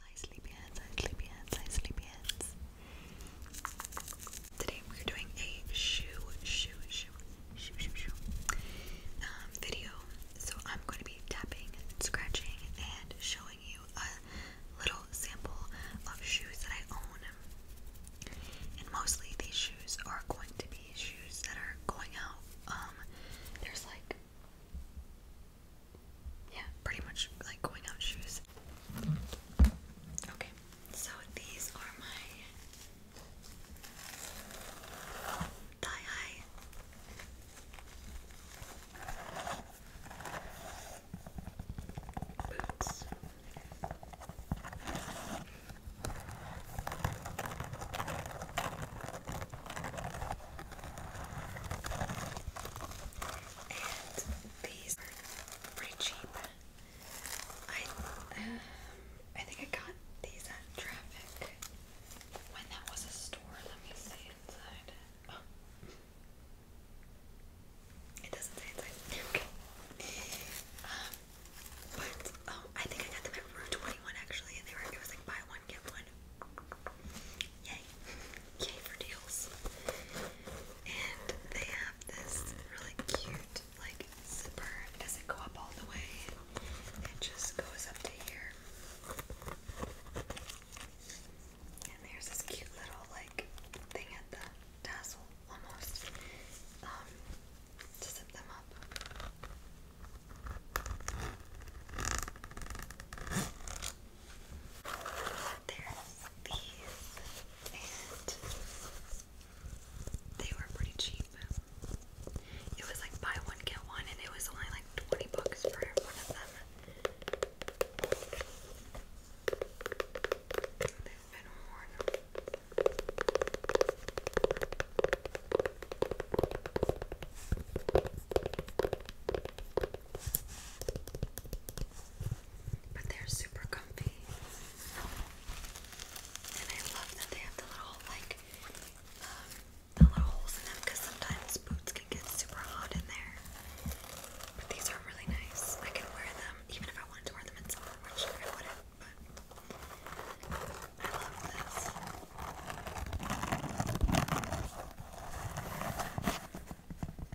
Hi sleepyheads, sleepyheads, sleepyheads. Today we're doing a shoe, shoe, shoe, shoe, shoe, shoe um, video. So I'm going to be tapping, scratching, and showing you a little sample of shoes that I own. And mostly these shoes are going to be shoes that are going out. Um, there's like yeah, pretty much like going out shoes. Okay, so these are my high and these are pretty cheap. I um, I think I got these at Traffic when that was a store. Let me see inside. Oh. It doesn't say inside. Okay. Um, but oh, I think I got them at Rue Twenty One actually, and they were it was like buy one get one Yay. Yay for deals. And they have this really cute like zipper. It doesn't go up all the way. It just goes up to here. And there's this cute little like thing at the tassel almost. Um to zip them up. There's these, they were pretty cheap. It was like buy one, get one, and it was only like 20 bucks for one of them. But they're super comfy. And I love that they have the little, like, um, the little holes in them because sometimes boots can get super hot in there. But these are really nice. I can wear them even if I wanted to wear them in summer, which I wouldn't, but I love this.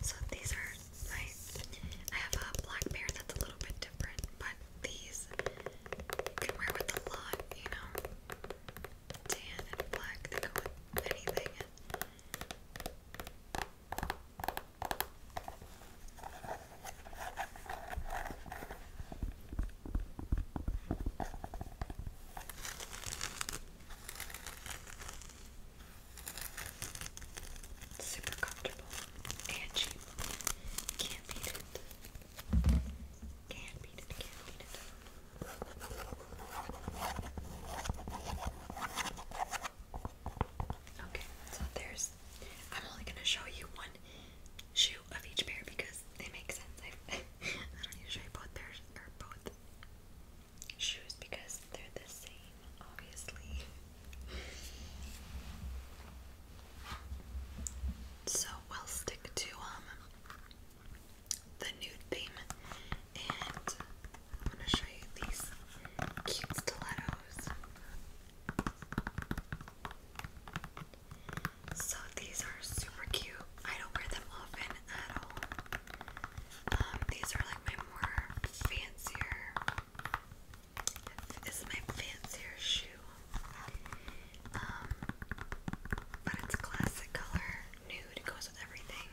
So these are my I have a black pair that's a little bit different, but these you can wear with a lot, you know. Tan and black, they go with anything. Super comfortable and cheap. Can't beat it. Can't beat it. Can't beat it. Okay, so there's. I'm only gonna show you one shoe of each pair because they make sense. I, don't need to show you both or both shoes because they're the same, obviously. So we'll stick to um the nude theme and I'm gonna show you these cute stilettos. So these are super cute. I don't wear them often at all. Um, these are like my more fancier. This is my fancier shoe. Um, but it's classic color, nude. It goes with everything.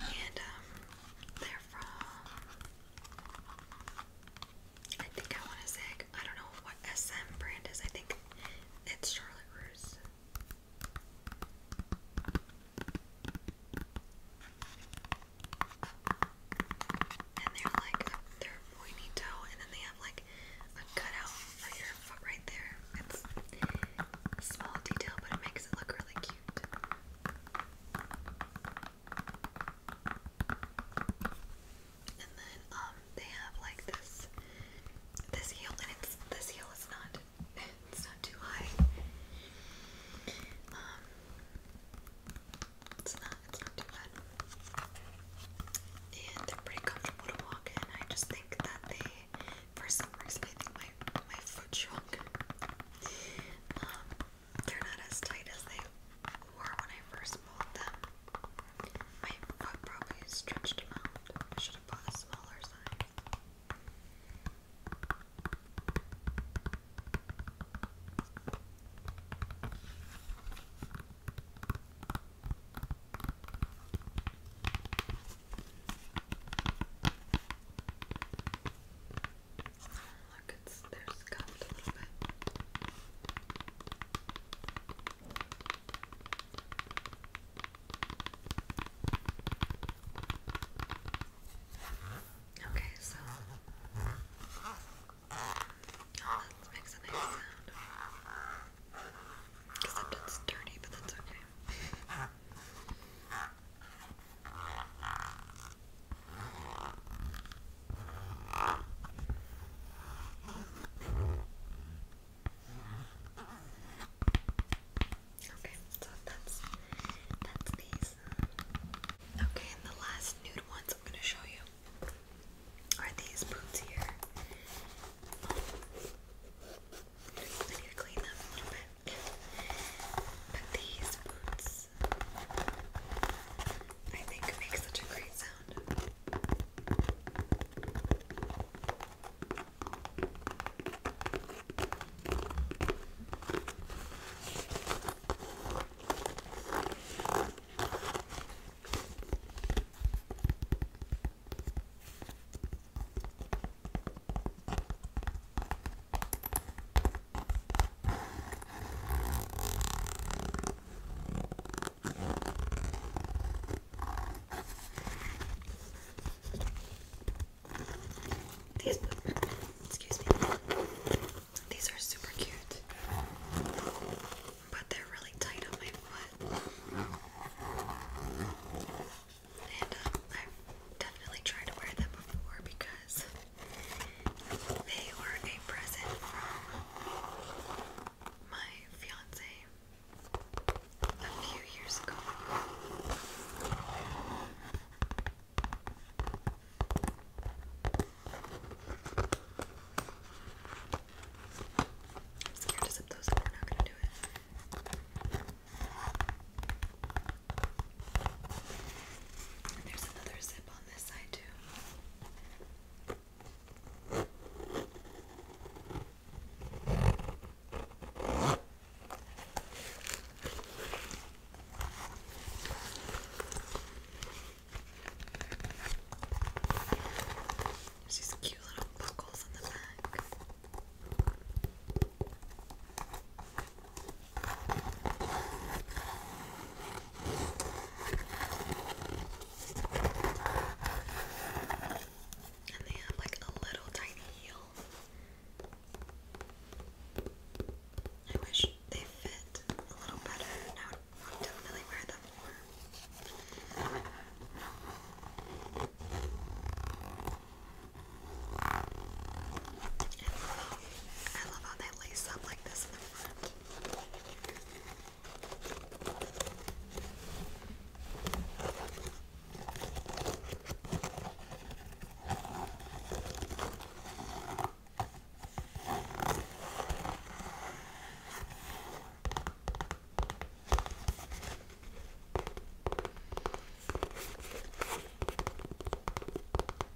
And um, they're from. I think I want to say I don't know what SM brand is. I think it's Charlotte Russe. And they're like they're pointy toe, and then they have like a cutout for your foot right there. It's small detail, but it makes it look really cute. And then um they have like this this heel and it's this heel is not it's not too high. Um, it's not it's not too bad. And they're pretty comfortable to walk in. I just think that they for some reason I think my my foot shrunk. Um, they're not as tight as they were when I first pulled them. My foot probably stretched them out. should have bought a smaller size. Look, it's they're scuffed a little bit. Okay, so oh, that makes a nice sound. Except it's dirty, but that's okay. Okay, so that's that's these. Okay, the last nude ones I'm gonna show you are these boots here. need to clean them but these boots, I think, make such a great sound. These, excuse me, these are super cute, but they're really tight on my foot. And um, i definitely tried to wear them before because they were a present from my fiance a few years ago. scared to zip those up, we're not gonna do it there's another zip on this side too. There's these cute little buckles on the back. And they have like a little tiny heel. I wish they fit a little better. And I would definitely wear them more. I love I love how they lace up like this in the front. I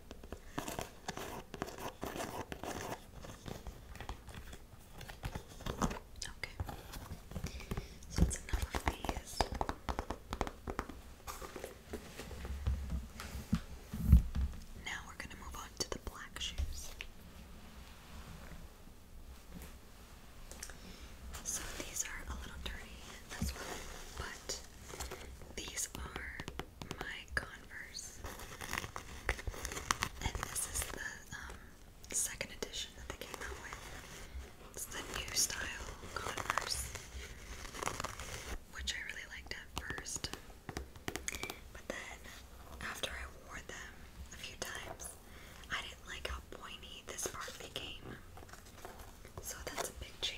Okay, so it's enough of these. Now we're going to move on to the black shoes. So these are a little dirty but these are my Converse. And this is the um, second edition that they came out with. It's the new style Converse, which I really liked at first. But then, after I wore them a few times, I didn't like how pointy this part became. So that's a big change.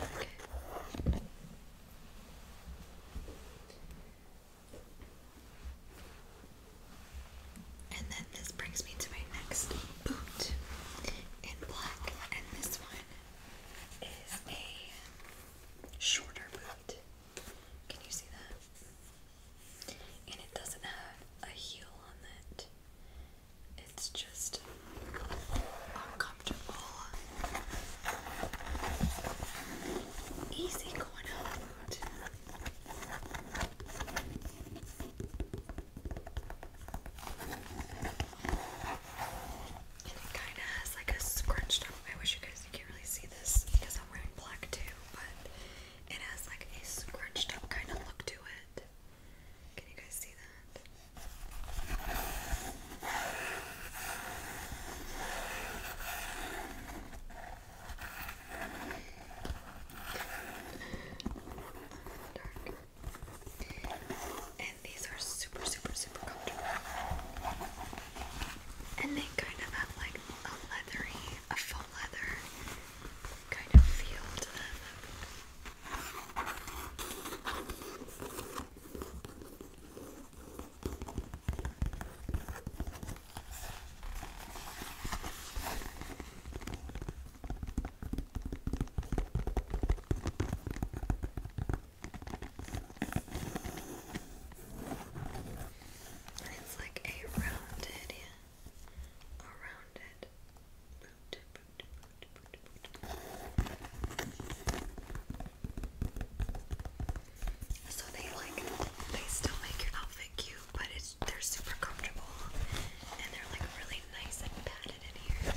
Okay. And then this brings me to my next boot in black, and this one is a shorter boot. Can you see that? And it doesn't have a heel on it. It's just uncomfortable. Easy going And it kind of has like a scrunched up. I wish you guys you can't really see this because I'm wearing black too, but it has like a scrunched up kind of look to it. Can you guys see that? And these are super, super, super comfortable. And they kind of have like a leathery, a faux leather kind of feel to them. It's like a rounded, rounded boot. So they like they still make your outfit cute, but it's they're super comfortable and they're like really nice and padded in here.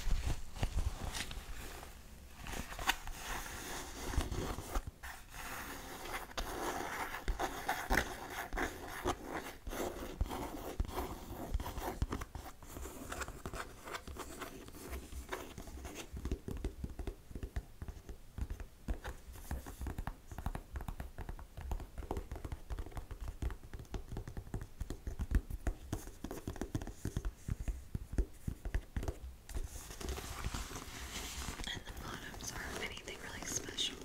And the bottoms aren't anything really special.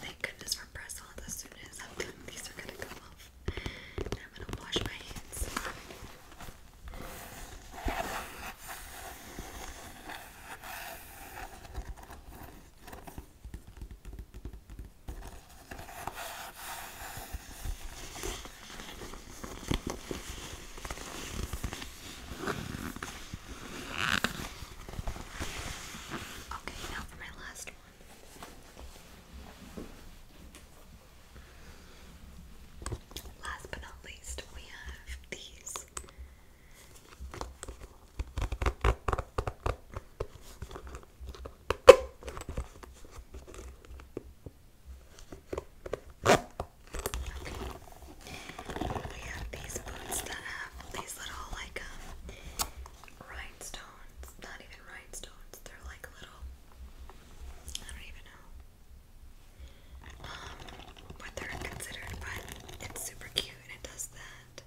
Thank goodness for bristles. As soon as I'm done, these are gonna come off. I'm gonna wash my hands. Okay, now for my last one. Last but not least, we have these. We have these boots that have these little like um, rhinestones. Not even rhinestones, they're like little I don't even know what they're considered, but it's super cute and it does that.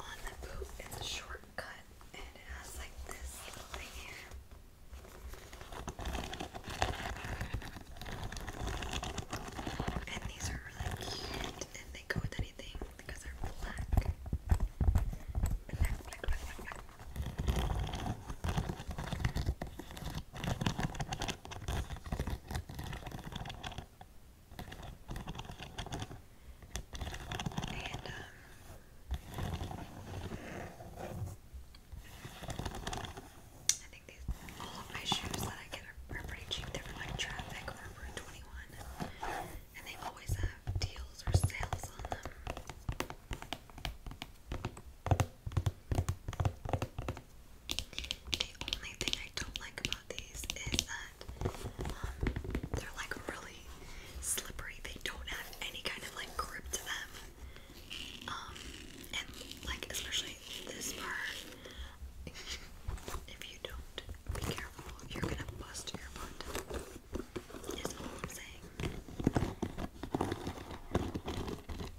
On the boot, it's a shortcut and it has like this little thing here. And these are really cute and they go with anything because they're black. And, um, I think these, all of my shoes that I get are, pretty cheap. They're from like Traffic or 21. And they always have deals or sales on them. The only thing I don't like about these is that um, they're like really slippery. They don't have any kind of like grip to them. Um, and like especially this part, if you don't be careful, you're gonna bust your butt. Is all I'm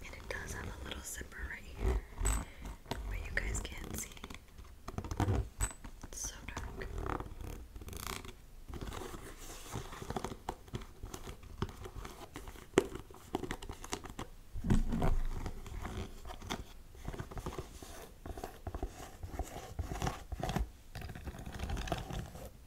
And it does have a little zipper right here, but you guys can't see. It's so dark.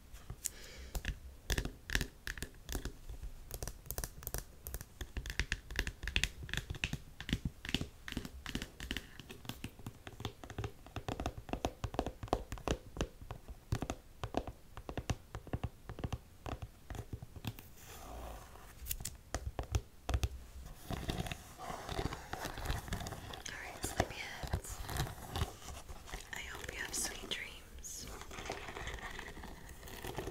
All right, sleepyheads. I hope you have sweet dreams dreams. Good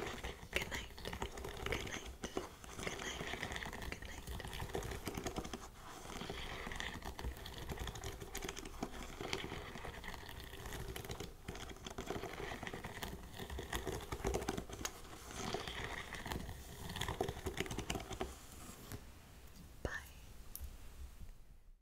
night. Good night. Good night. Good night. Bye.